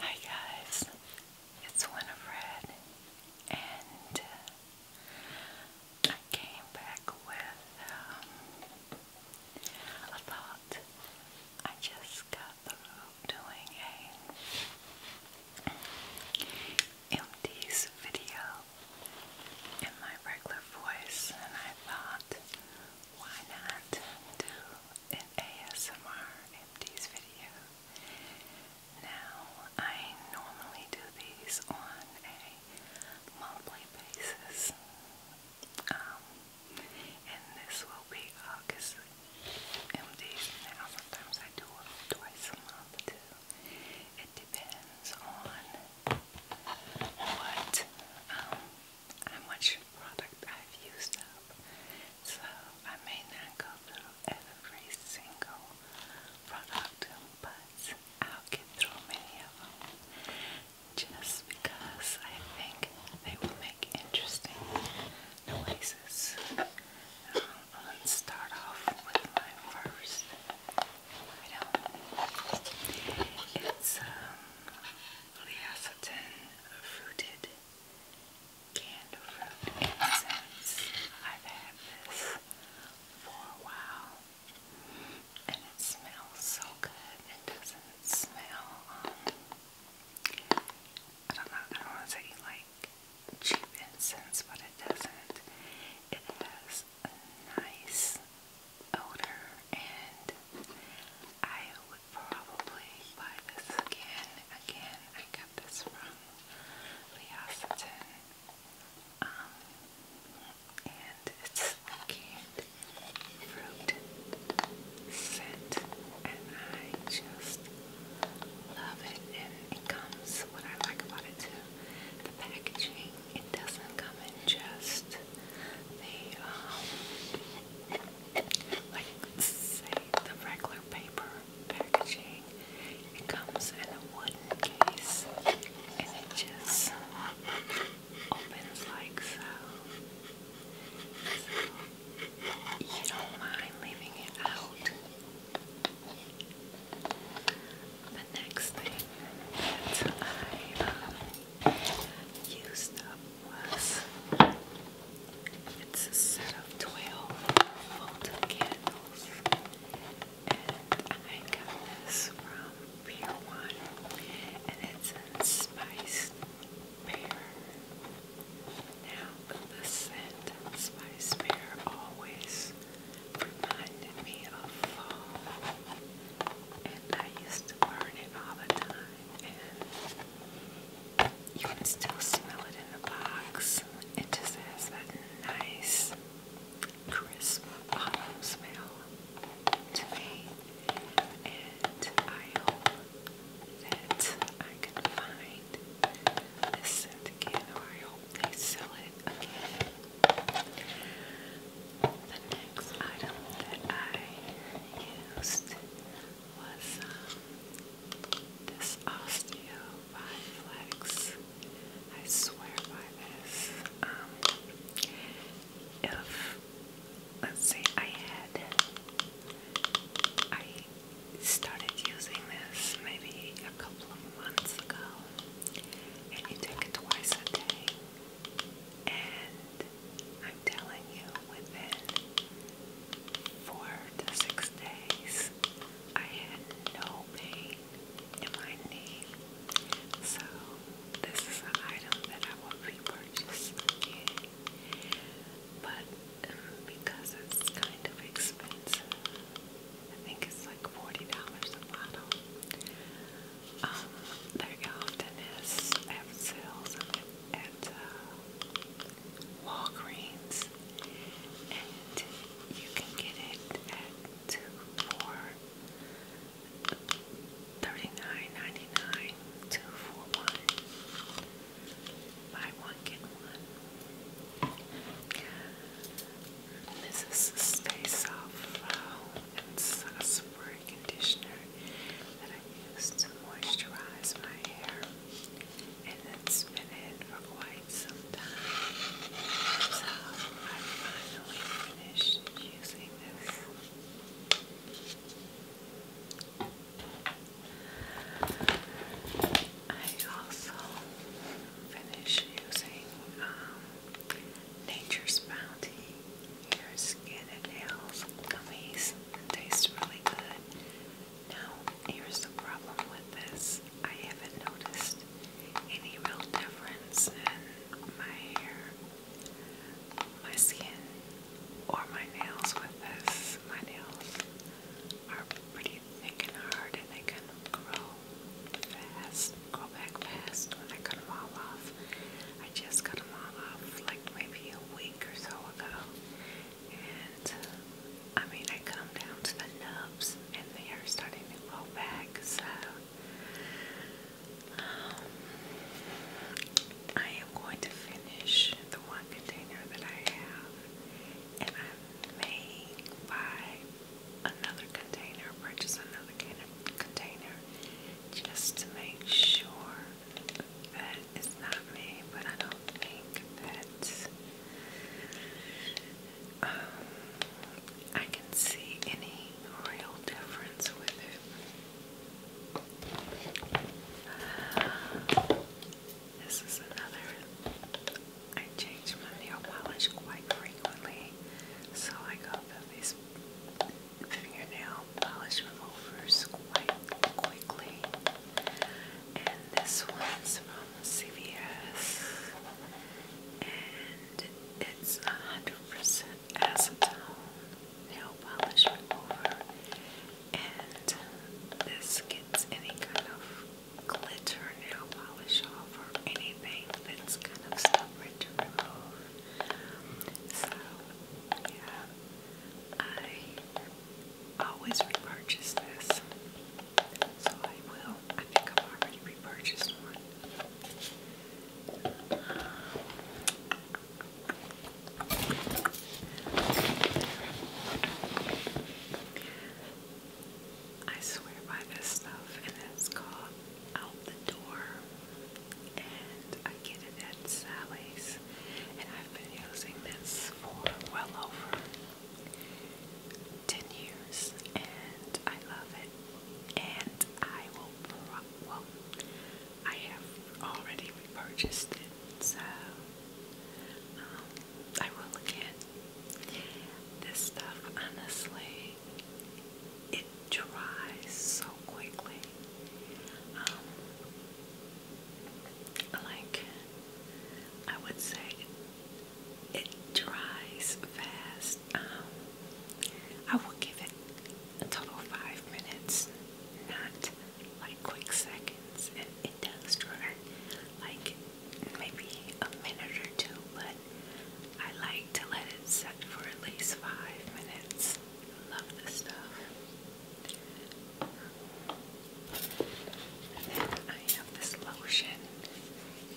Hi guys, it's Winifred, and uh, I came back with um, a thought. I just got through doing a MD's video in my regular voice, and I thought, why not do an ASMR empties video. Now, I normally do these on a monthly basis, um, and this will be August MDs now. Sometimes I do it twice a month too. It depends on what um, how much product I've used up. So I may not go through every single product, but I'll get through many of them just because I think they will make interesting noises. Um, let start off with my first item. It's um, Leosotin fruited canned fruit incense. I've had this for a while and it smells so good. It doesn't smell, um, I don't know, I don't want to say like cheap incense, but it doesn't. It has a nice odor and I would probably again. Again, I got this from Leocetin. Um, and it's canned fruit scent, and I just love it. And it comes, what I like about it too, the packaging. It doesn't come in just the um, like say the regular paper packaging. It comes in a wooden case and it just opens like so. you don't mind leaving it out. The next thing that I um, used up it's a set of 12 folded candles and I got this from Pier 1 and it's in spiced pear. Now the scent spiced pear always reminded me of fall and I used to burn it all the time, and you can still smell it in the box. It just has that nice, crisp autumn smell to me, and I hope that I can find this again, or I hope they sell it again. The next item that I used was um, this Osteo by Flex. I swear by this. Um, if let's see, I had I started using this maybe a couple of months ago, and you take it twice a day, and I'm telling you, within four to six days, I had no pain in my knee. So, this is an item that I will be again. But um, because it's kind of expensive, I think it's like $40 a bottle. Um, often is at sales at uh, Walgreens, and you can get it at two for Buy one get one. This is space of. Uh, it's a conditioner that I use to moisturize my hair, and it's been for quite some time. So I finally finished using this. I also finished using um, Nature's Bounty. Your skin and nails gummies taste really good. Now, here's the problem with this. I haven't noticed any real difference in my hair, my skin, or my nails with this. My nails are pretty thick and hard and they kind grow fast go back fast when I cut them all off. I just cut them all off like maybe a week or so ago. And I mean, I come down to the nubs and they are starting to grow back. So um, I am going to finish the one container that I have. And I may buy another container, purchase another container just to make sure that it's not me, but I don't think that um, I can see any real difference with it. this is another. I change my nail polish quite frequently, so I go through fingernail polish removers quite quickly. And this one's from CVS. And it's 100% acetone nail polish remover. And this gets any kind of glitter nail polish off or anything that's kind of stuck so, yeah, I always repurchase this. So I will. I think I've already repurchased one. I swear by this stuff, and it's called out the door and I get it at Sally's and I've been using this for well over 10 years and I love it and I will well I have already repurchased it so um, I will again this stuff honestly it dries so quickly. Um, like I would say, it dries fast. Um, I will give it a total five minutes, not like quick seconds, and it does dry like maybe a minute or two, I like to let it set for at least five minutes. Love this stuff. then I have this lotion,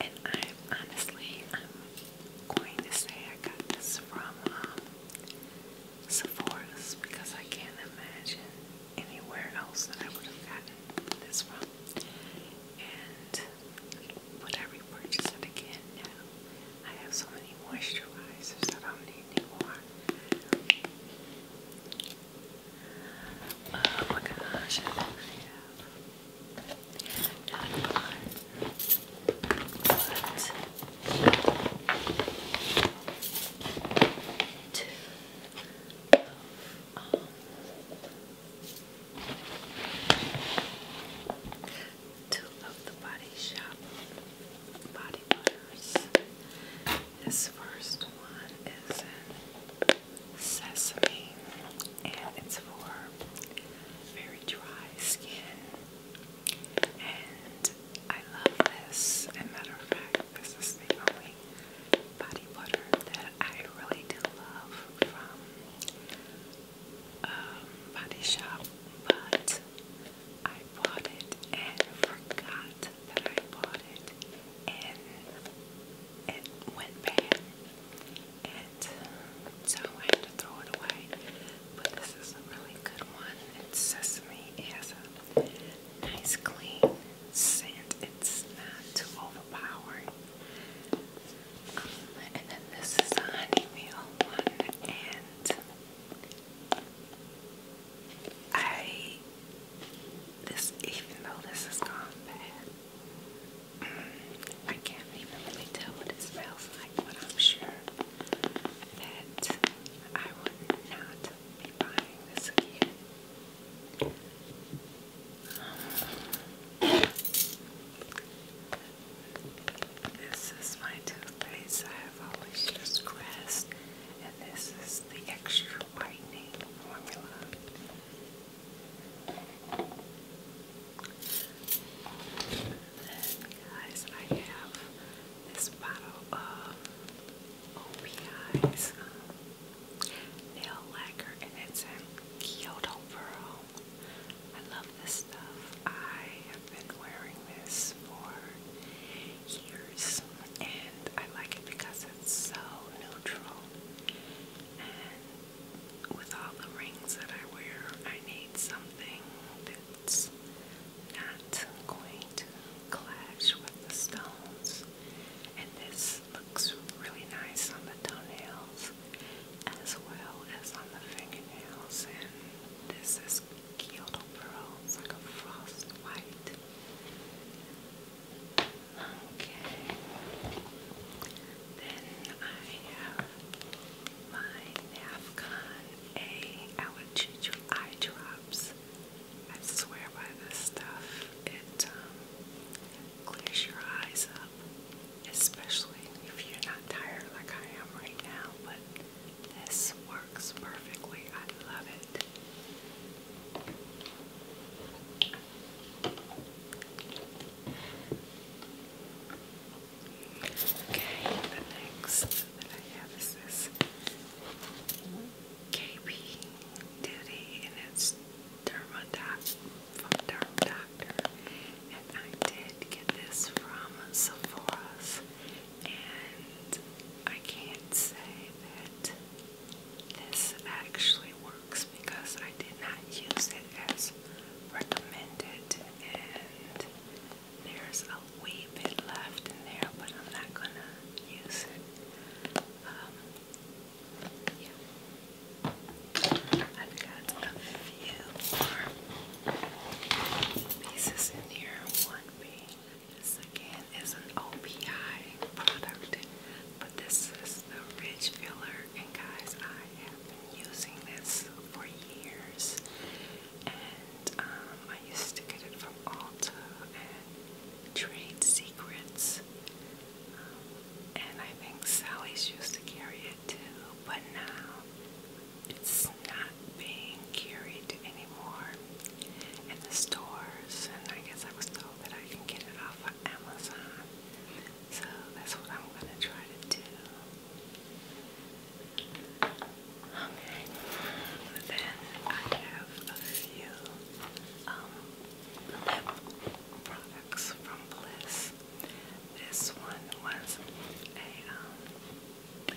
and I honestly, I'm going to say I got this from um, because I can't imagine anywhere else that I would have gotten this from. And would I repurchase it again? No. I have so many moisturizers that I don't need anymore. Oh my gosh, I have not one, two um, two the Body Shop body butters. This first one is in sesame and it's for very dry skin. And I love this. As a matter of fact, this is the only body butter that I really do love from um, but I bought it and forgot that I bought it, and it went bad, and so I had to throw it away. But this is a really good one. It's sesame. It has a nice clean scent. It's not too overpowering and then this is a honey meal one, and I this even though this is gone bad, mm, I can't even really tell what it smells like, but I'm sure that I would not be buying this again. This is my toothpaste. I have always used Crest, and this is the extra whitening formula. And guys, I have this bottle of OPI's nail lacquer, and it's in Kyoto Pearl. I love this stuff. I have been wearing this for years, and I like it because it's so neutral. And with all the rings that I wear, I need something that's not going to clash with the stones. And this this looks really nice on the toenails as well as on the fingernails and this is Kyoto Pearl, it's like a frost white. Okay, then I have my Nafcon A Alachuchu Eye Drops. I swear by this stuff. It um, clears your eyes up, especially if you're not tired like I am right now. But this works perfectly. I love it. Okay, the next that I have is this KB Duty, and it's dermodoc derm doctor, and I did get this from Sephora's, and I can't say that this actually works because I did not use it as recommended, and there's a wee bit left in there, but I'm not gonna use it. Um, yeah. I've got a few more pieces in here. One being, this again is an OPI product, but this is the Rich Filler, and guys, I have been using this for years. And um, I used to get it from Ulta and Trade Secrets. And I think Sally's used to carry it too, but now it's not being carried anymore in the stores. And I guess I was told that I can get it off of Amazon. So that's what I'm going to try to do. Okay, then I have a few um, lip products from Bliss. This one was a um,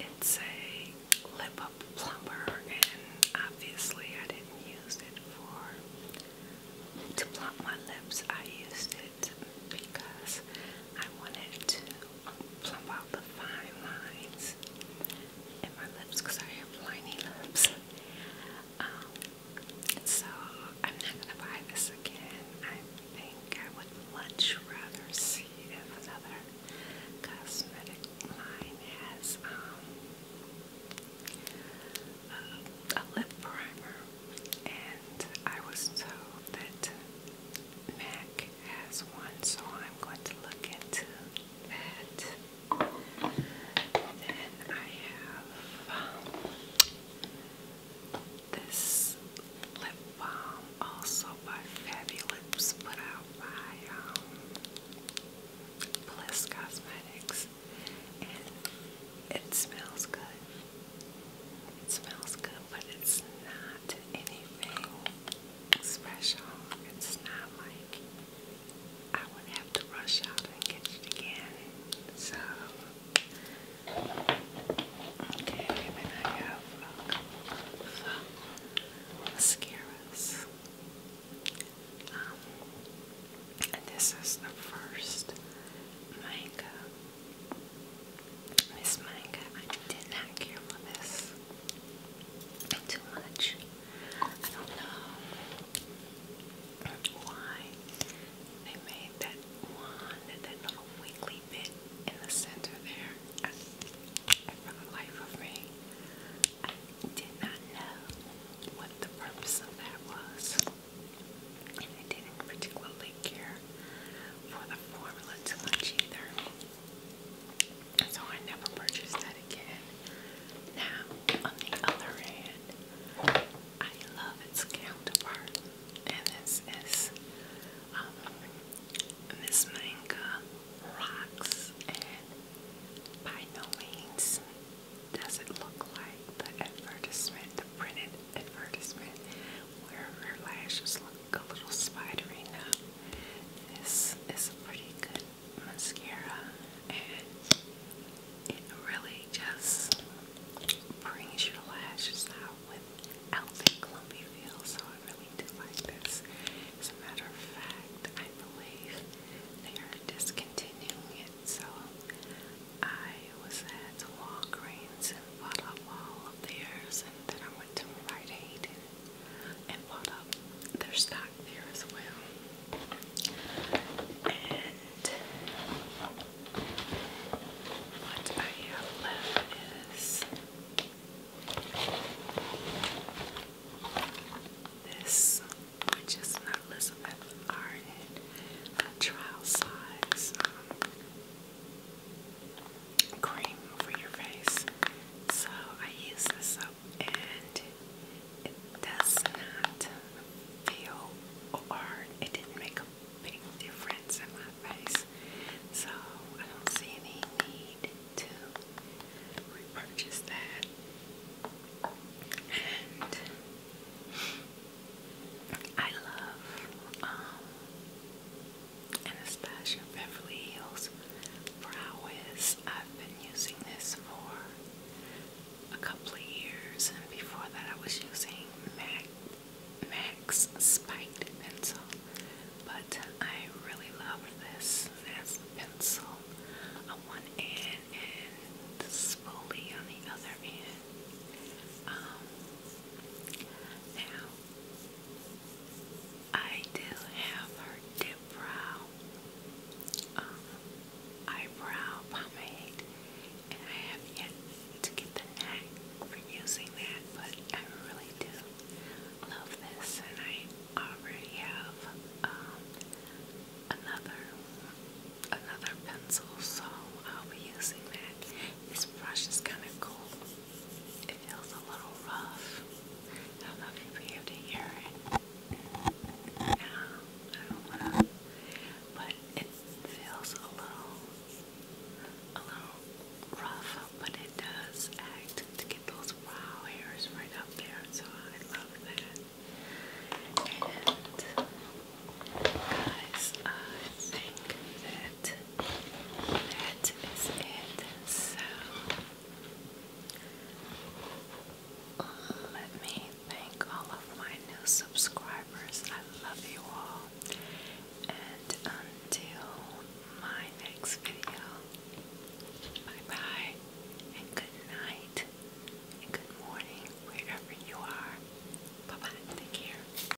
it's a lip up plumper, and obviously I didn't use it for to plump my lips. I used it because I wanted to plump out the fine lines in my lips because I have liney lips. Um, so I'm not gonna buy this again. I think I would much rather see if another cosmetic line has um, a, a lip primer, and I was told that MAC think has one, so I'm going to look into that. Then I have this lip balm also by Fabulips put out by um, Bliss Cosmetics it smells good. It smells good, but it's not anything special. It's not like I would have to rush out and get it again. So, okay, then I Um, this is the first manga. This manga, I did not care for this too much. I don't know why they made that one, that little wiggly bit in the center there. for the life of me, I did not know what the purpose of that was. And I didn't particularly care for the formula too much either. So I never purchased that again. Now, on the other hand, I love its counterpart, and this is um, this rocks, and by no means does it look like the advertisement, the printed advertisement where her lashes look a little spidery now. This is a pretty good mascara and it really just brings your lashes out without that clumpy feel. So I really do like this. As a matter of fact, I believe they are discontinuing it. So I was at Walgreens and bought up all of theirs and then I went to Rite Aid and and bought up their stock there as well. And what I have left is this, which Elizabeth Arden, trial size. Um, cream for your face. So I use this soap and it does not feel hard. It didn't make a big difference in my face. So I don't see any need to repurchase that. And I love um, Anastasia Beverly Hills Brow Wiz. I've been using this for a couple of years, and before that, I was using MAC, Max Spiked Pencil, but I really love this as pencil on one end and the spoolie on the other end. Um, now, I do have her dip brow um, eyebrow pomade, and I have yet to get the knack for using that, but I really do love this, and I already have um, another another pencil, so I'll be using that. This brush is kind of cool. It feels a little rough. I don't you to hear it. No, I don't want to. But it feels a little, a little rough, but it does act to get those wow hairs right up there. So I love that. And guys, I think that that is it. So let me thank all of my new subscribers. I love you all. And until my next video, bye bye and good night and good morning wherever you are. Bye bye. Take care.